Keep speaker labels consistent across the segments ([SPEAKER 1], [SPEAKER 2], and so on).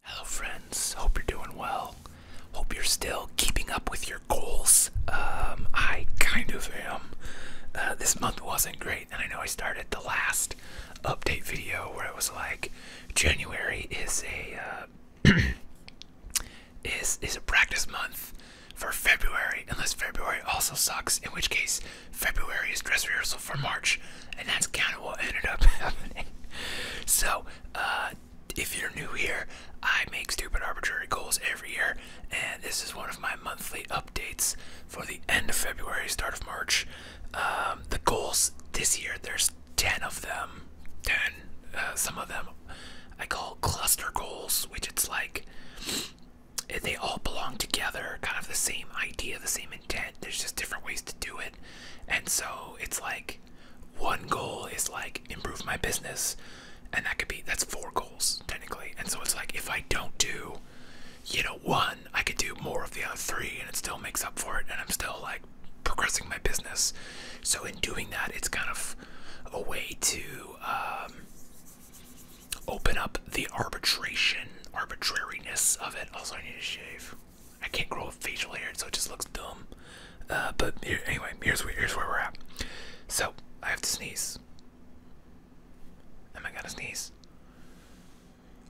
[SPEAKER 1] Hello, friends. Hope you're doing well. Hope you're still keeping up with your goals. Um, I kind of am. Uh, this month wasn't great, and I know I started the last update video where it was like January is a uh, is is a practice month for February, unless February also sucks, in which case February is dress rehearsal for March and that's kind of what ended up happening. So, uh, if you're new here, I make stupid arbitrary goals every year, and this is one of my monthly updates for the end of February, start of March. Um, the goals this year, there's 10 of them. 10. Uh, some of them I call cluster goals, which it's like they all belong together, kind of the same idea, the same intent. There's just different ways to do it. And so it's like one goal is like improve my business, and that could be that's four goals technically. And so it's like if I don't do, you know, one, I could do more of the other three, and it still makes up for it, and I'm still like progressing my business. So in doing that, it's kind of a way to um, open up the arbitration arbitrariness of it. Also, I need to shave. I can't grow a facial hair, so it just looks dumb. Uh, but anyway, here's where we're at. So I have to sneeze. Am I gonna sneeze?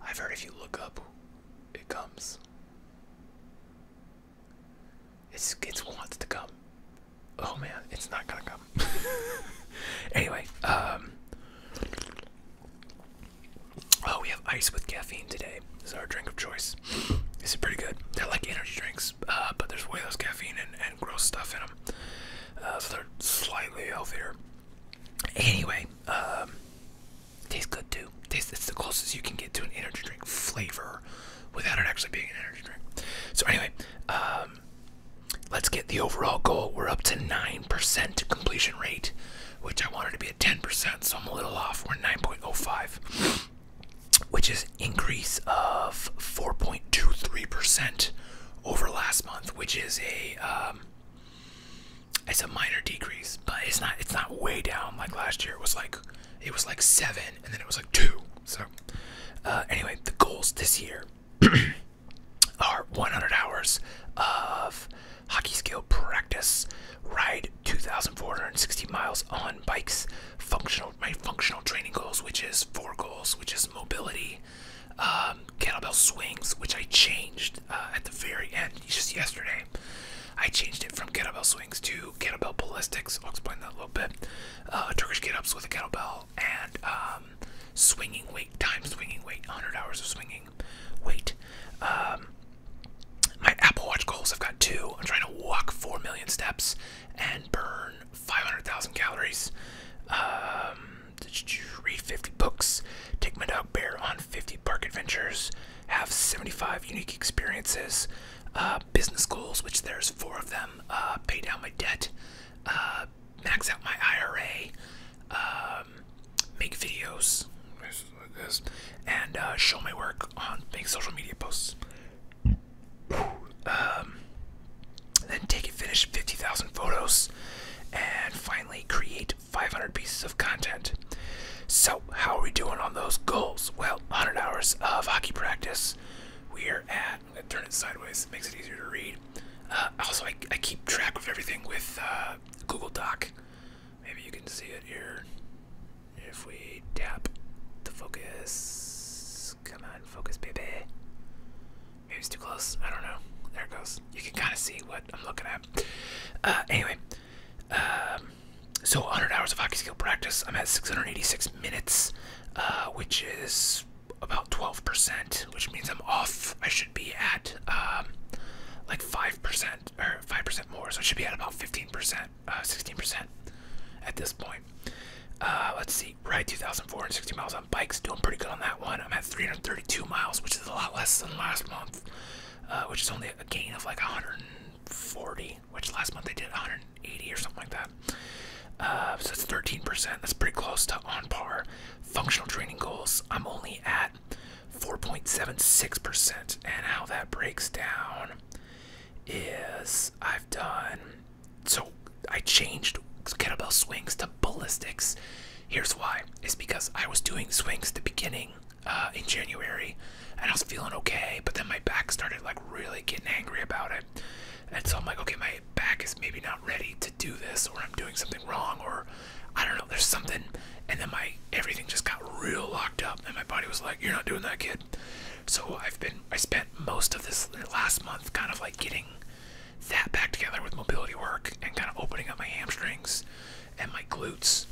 [SPEAKER 1] I've heard if you look up, it comes. It's it wants to come. Oh man, it's not gonna come. anyway, um, Oh, we have ice with caffeine today. This is our drink of choice. This is pretty good. They're like energy drinks, uh, but there's way less caffeine and, gross stuff in them. Uh, so they're slightly healthier. Anyway, um, tastes good too. Tastes, it's the closest you can get to an energy drink flavor without it actually being an energy drink. So anyway, um, let's get the overall goal. We're up to 9% completion rate which I wanted to be at 10%, so I'm a little off. We're 9.05, which is increase of 4.23% over last month, which is a um, it's a minor decrease, but it's not it's not way down like last year. It was like it was like seven, and then it was like two. So uh, anyway, the goals this year are 100 hours of hockey skill practice, ride 2,460 miles on bikes, functional my functional training goals, which is four goals, which is mobility, um, kettlebell swings, which I changed uh, at the very end just yesterday. I changed it from kettlebell swings to kettlebell ballistics. I'll explain that a little bit. Uh, Turkish get ups with a kettlebell and um, swinging weight, time swinging weight, 100 hours of swinging Wait, Um, my Apple Watch goals, I've got two. I'm trying to walk 4 million steps and burn 500,000 calories. Um, read 50 books, take my dog Bear on 50 park adventures, have 75 unique experiences, uh, business goals, which there's four of them, uh, pay down my debt, uh, max out my IRA, um, make videos and uh, show my work on making social media posts. Um, then take and finish 50,000 photos, and finally create 500 pieces of content. So, how are we doing on those goals? Well, 100 hours of hockey practice. We are at, I'm going to turn it sideways, it makes it easier to read. Uh, also, I, I keep track of everything with uh, Google Doc. Maybe you can see it here. If we tap the focus, come on, focus, baby. Maybe it's too close. I don't know. There it goes. You can kind of see what I'm looking at. Uh, anyway, um, so 100 hours of hockey skill practice. I'm at 686 minutes, uh, which is about 12% which means I'm off. I should be at um, like five percent or five percent more, so it should be at about fifteen percent, uh, sixteen percent at this point. Uh, let's see, Right, 2,460 miles on bikes, doing pretty good on that one. I'm at 332 miles, which is a lot less than last month, uh, which is only a gain of like 140, which last month I did 180 or something like that. so it's 13%. That's pretty close to on par. Functional training goals, I'm only at 4.76%. And how that breaks down is I've done so I changed kettlebell swings to ballistics. Here's why is because I was doing swings at the beginning uh, in January and I was feeling okay, but then my back started like really getting angry about it. And so I'm like, okay, my back is maybe not ready to do this, or I'm doing something wrong, or I don't know, there's something. And then my everything just got real locked up, and my body was like, "You're not doing that, kid." So I've been, I spent most of this last month kind of like getting that back together with mobility work and kind of opening up my hamstrings and my glutes.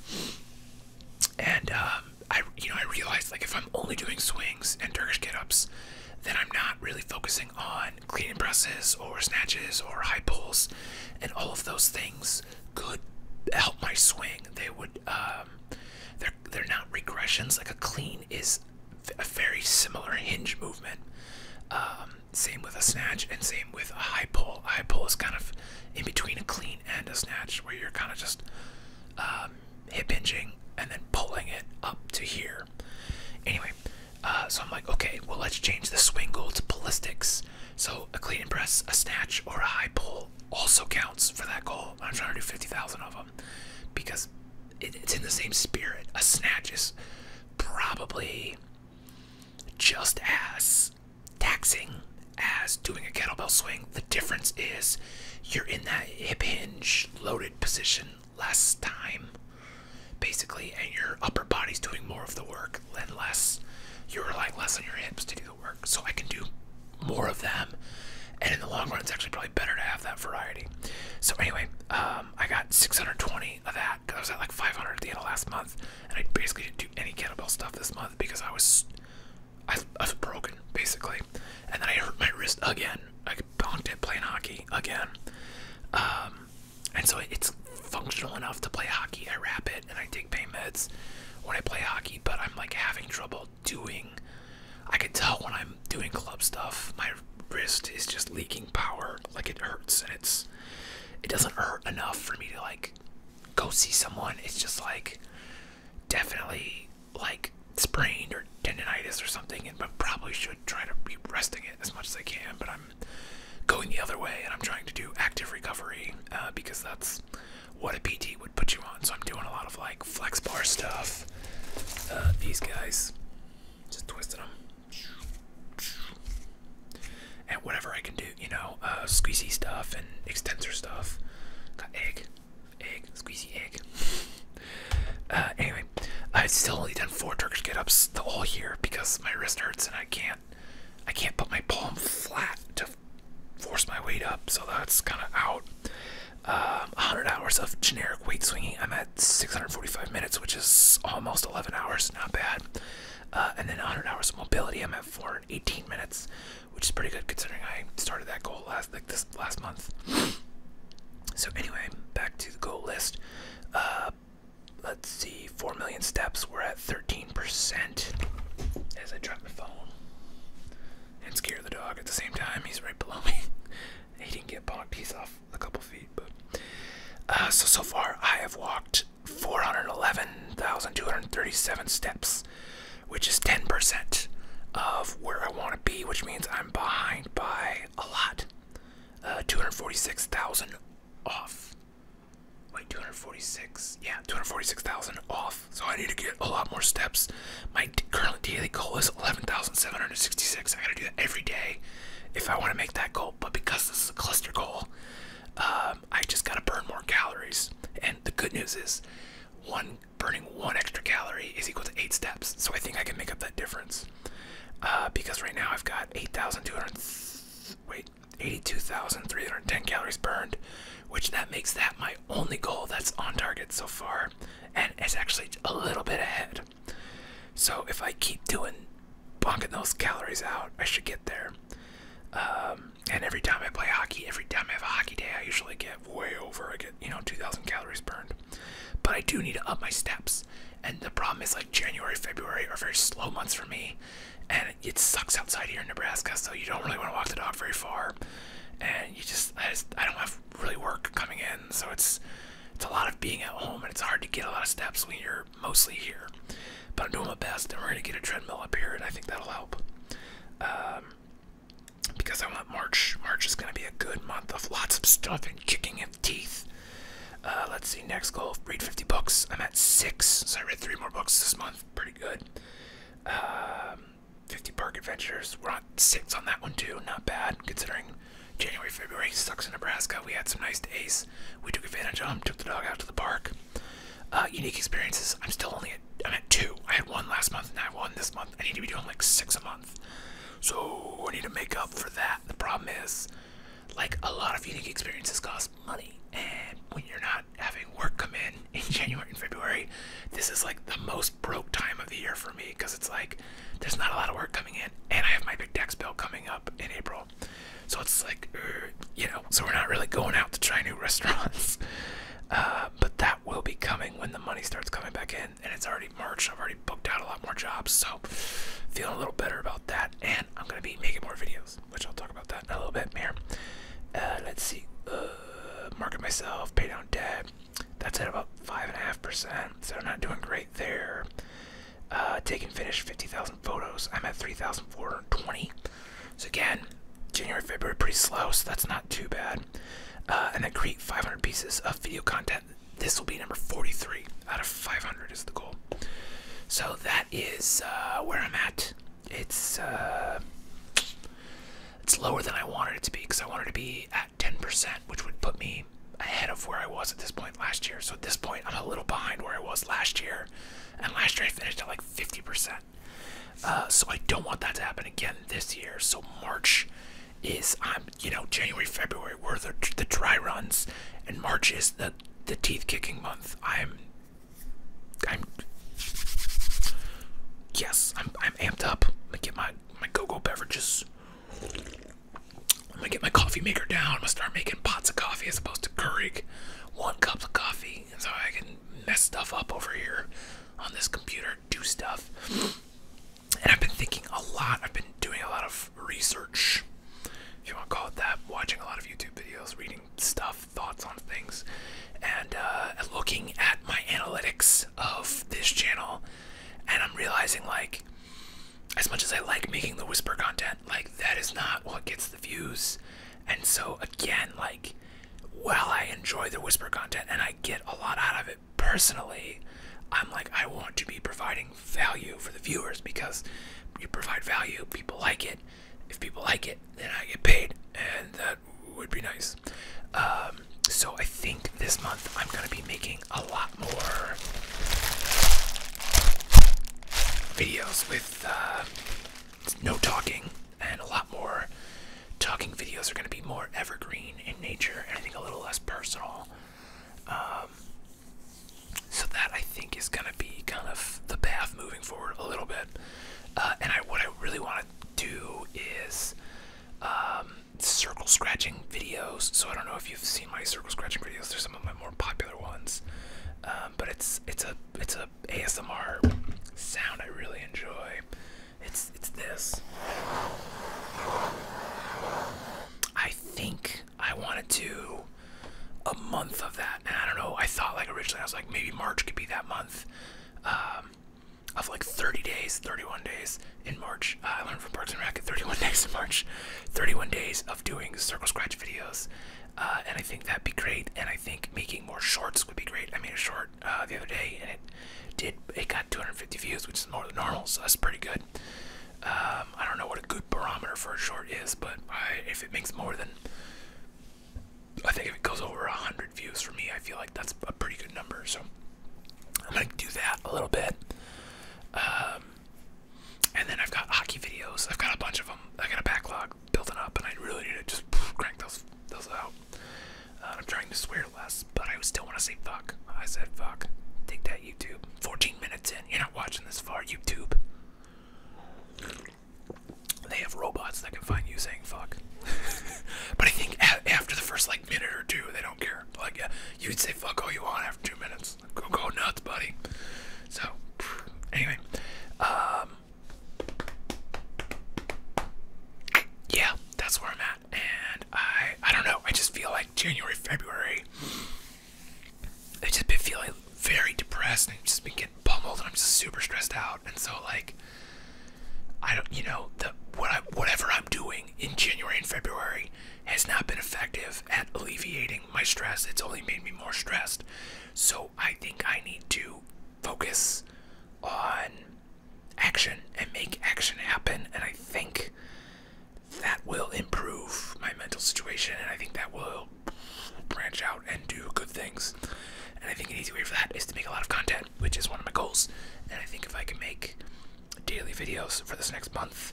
[SPEAKER 1] And um, I, you know, I realized like if I'm only doing swings and Turkish get-ups, then I'm not really focusing on on clean presses or snatches or high pulls, and all of those things could help my swing. They would. Um, they're they're not regressions. Like a clean is a very similar hinge movement. Um, same with a snatch and same with a high pull. high pull is kind of in between a clean and a snatch, where you're kind of just um, hip hinging and then pulling it up to here. Anyway, uh, so I'm like, okay, well, let's change the swing goal to ballistics. So a clean and press, a snatch, or a high pull also counts for that goal. I'm trying to do 50,000 of them because it's in the same spirit. A snatch is probably just as taxing as doing a kettlebell swing. The difference is you're in that hip hinge loaded position less time basically and your upper body's doing more of the work and less you are rely less on your hips to do the work so i can do more of them and in the long run it's actually probably better to have that variety so anyway um, i got 620 of that because i was at like 500 at the end of last month and i basically didn't do any kettlebell stuff this month because i was i, was broken basically and then i hurt my wrist again i bonked it playing hockey again um, and so it's functional enough to play hockey. I wrap it and I take pain meds when I play hockey, but I'm like having trouble doing. I can tell when I'm doing club stuff, my wrist is just leaking power. Like it hurts, and it's it doesn't hurt enough for me to like go see someone. It's just like definitely like sprained or tendonitis or something, and I probably should try to be resting it as much as I can, but I'm going the other way and I'm trying to do active recovery uh, because that's what a PT would put you on. So I'm doing a lot of like flex bar stuff. Uh, these guys, just twisted them. And whatever I can do, you know, uh, squeezy stuff and extensor stuff. egg, egg, squeezy egg. Uh, anyway, I've still only done four Turkish get-ups the whole year because my wrist hurts and I can't, I can't put my palm flat to force my weight up. So that's kind of out. Um, 100 hours of generic weight swinging. I'm at 645 minutes, which is almost 11 hours. Not bad. Uh, and then 100 hours of mobility. I'm at 418 minutes, which is pretty good considering I started that goal last like this last month. So anyway, back to the goal list. Uh, let's see, 4 million steps. We're at 13% as I drop my phone and scare the dog at the same time. He's right below me. he didn't get bonked. He's off a couple feet. But uh, So, so far, I have walked 411,237 steps, which is 10% of where I want to be, which means I'm behind by a lot uh, 246,000 off. Wait, 246. Yeah, 246,000 off. So I need to get a lot more steps. My current daily goal is 11,766. I gotta do that every day if I want to make that goal. But because this is a cluster goal, um, I just gotta burn more calories. And the good news is, one burning one extra calorie is equal to eight steps. So I think I can make up that difference. Uh, because right now I've got 8,200. Wait, 82,310 calories burned, which that makes that my only goal that's on target so far, and it's actually a little bit ahead. So if I keep doing bonking those calories out, I should get there. Um, and every time I play hockey, every time I have a hockey day, I usually get way over. I get you know 2,000 calories burned. But I do need to up my steps. And the problem is like January, February are very slow months for me. And it sucks outside here in Nebraska, so you don't really want to walk the dog very far. And you just I, just, I don't have really work coming in, so it's, it's a lot of being at home, and it's hard to get a lot of steps when you're mostly here. But I'm doing my best, and we're gonna get a treadmill up here, and I think that'll help. Um, because I want March. March is going to be a good month of lots of stuff and kicking of teeth. Uh, let's see, next goal read 50 books. I'm at six, so I read three more books this month. Pretty good. Um, 50 Park Adventures. We're on six on that one, too. Not bad, considering January, February sucks in Nebraska. We had some nice days. We took advantage of them, took the dog out to the park. Uh, unique experiences. I'm still only at, I'm at two. I had one last month, and I have one this month. I need to be doing like six a month. So I need to make up for that. The problem is, like a lot of unique experiences cost money, and when you're not having work come in in January and February, this is like the most broke time of the year for me because it's like there's not a lot of work coming in, and I have my big tax bill coming up in April. So it's like, uh, you know, so we're not really going out to try new restaurants. Uh, but that will be coming when the money starts coming back in and, it's already March. I've already booked out a lot more jobs, so feeling a little better about that. And I'm gonna be making more videos, which I'll talk about that in a little bit here. Uh, let's see, uh, market myself, pay down debt. That's at about five and a half percent, so I'm not doing great there. Uh, take and finish 50,000 photos. I'm at 3,420. So again, January, February, pretty slow, so that's not too bad. Uh, and then create 500 pieces of video content. This will be number 43 out of 500 is the goal. So that is uh, where I'm at. It's uh, it's lower than I wanted it to be because I wanted to be at 10%, which would put me ahead of where I was at this point last year. So at this point, I'm a little behind where I was last year, and last year I finished at like 50%. so I don't want that to happen again this year. So March is I'm um, you know January February were the the dry runs and March is the the teeth kicking month. I'm I'm yes I'm I'm amped up. I'm gonna get my my go-go beverages. I'm gonna get my coffee maker down. I'm gonna start making pots of coffee as opposed to Keurig. One cup of coffee, and so I can mess stuff up over here on this computer, do stuff and I've been thinking a lot. I've been doing a lot of research, if you want to call it that, watching a lot of YouTube videos, reading stuff, thoughts on things, and uh, looking at my analytics of this channel. And I'm realizing, like, as much as I like making the whisper content, like, that is not what gets the views. And so, again, like, while I enjoy the whisper content and I get a lot out of it personally, I'm like, I want to be providing value for the viewers because you provide value, people like it. If people like it, then I get paid, and that would be nice. Um, so I think this month I'm gonna be making a lot more videos with uh, no talking and a lot more talking videos are going to be more evergreen in nature and I think a little less personal. Um, so that I think is going to be kind of the path moving forward a little bit. Uh, and what I really want to do is um, circle scratching videos. So I don't know if you've seen my circle scratching videos. They're some of my more popular ones. Um, but it's it's a it's a ASMR sound I really enjoy. It's it's this. I think I want to do a month of that, and I don't know. I thought like originally I was like maybe March could be that month. Um, of like 30 days, 31 days in March. Uh, I learned from Parks and Rec 31 days in March, 31 days of doing circle scratch videos, uh, and I think that'd be great. And I think making more shorts would be great. I made a short uh, the other day, and it did. It got 250 views, which is more than normal, so that's pretty good. Um, I don't know what a good barometer for a short is, but if it makes more than, I think if it goes over 100 views for me, I feel like that's a pretty good number. So I'm gonna do that a little bit. Um, and then I've got hockey videos. I've got a bunch of them. I have got a backlog building up, and I really need to just crank those those out. Uh, I'm trying to swear less, but I still want to say fuck. I said fuck. Take that, YouTube. 14 minutes in. You're not watching this far, YouTube. They have robots that can find you saying fuck. but I think after the first like minute or two, they don't care. Like yeah, you'd say fuck all you want after two minutes. Go go nuts, buddy. So anyway, um, yeah, that's where I'm at. And I I don't know, I just feel like January, February I've just been feeling very depressed and I've just been getting bumbled and I'm just super stressed out and so like I don't you know, the what I whatever I'm doing in January and February has not been effective at alleviating my stress. It's only made me more stressed. So I think I need to focus on action and make action happen. And I think that will improve my mental situation. And I think that will branch out and do good things. And I think an easy way for that is to make a lot of content, which is one of my goals. And I think if I can make daily videos for this next month,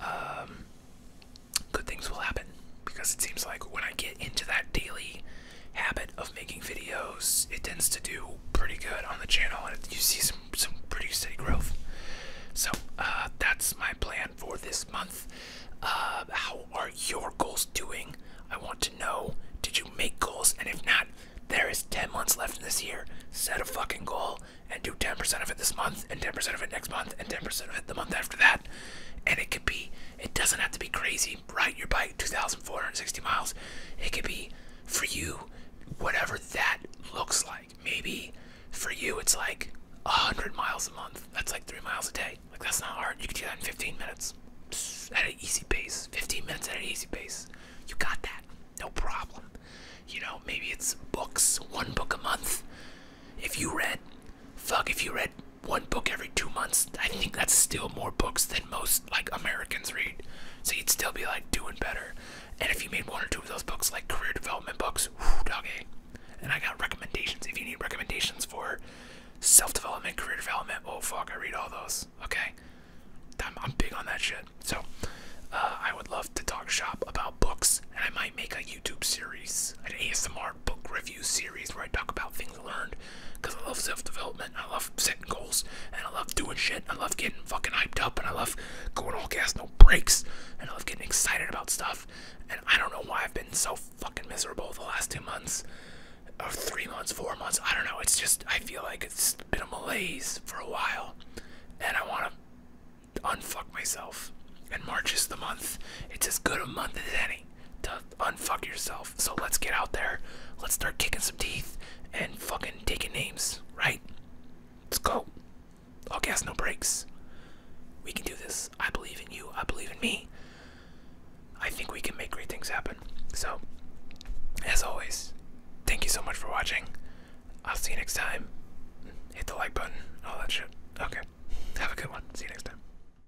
[SPEAKER 1] um, good things will happen. Because it seems like when I get into that daily habit of making videos, it tends to do pretty good on the channel, and you see some some pretty steady growth. So uh, that's my plan for this month. Uh, how are your goals doing? I want to know. Did you make goals? And if not, there is 10 months left in this year. Set a fucking goal and do 10% of it this month, and 10% of it next month, and 10% of it the month after that. And it could be it doesn't have to be crazy. Ride your bike 2,460 miles. It could be for you, whatever that looks like. Maybe for you, it's like 100 miles a month. That's like three miles a day. Like, that's not hard. You can do that in 15 minutes at an easy pace. 15 minutes at an easy pace. You got that. No problem. You know, maybe it's books, one book a month. If you read, fuck, if you read one book every two months, I think that's still more books than most like Americans read. So you'd still be like doing better. And if you made one or two of those books, like career development books, whew, doggy. And I got recommendations. If you need recommendations for self development, career development, oh fuck, I read all those. Okay. I'm, big on that shit. So uh, I would love to talk shop about books, and I might make a YouTube series, an ASMR book review series where I talk about things learned because I love self development. I love setting goals and I love doing shit. I love getting fucking hyped up and I love going all gas, no brakes. And I love getting excited about stuff. And I don't know why I've been so fucking miserable the last two months or three months, four months. I don't know. It's just, I feel like it's been a malaise for a while. And I want to unfuck myself. And March is the month. It's as good a month as any to unfuck yourself. So let's get out there. Let's start kicking some teeth and fucking taking names, right? Let's go. All gas, no brakes. We can do this. I believe in you. I believe in me. I think we can make great things happen. So, as always, thank you so much for watching. I'll see you next time. Hit the like button, all that shit. Okay. Have a good one. See you next time.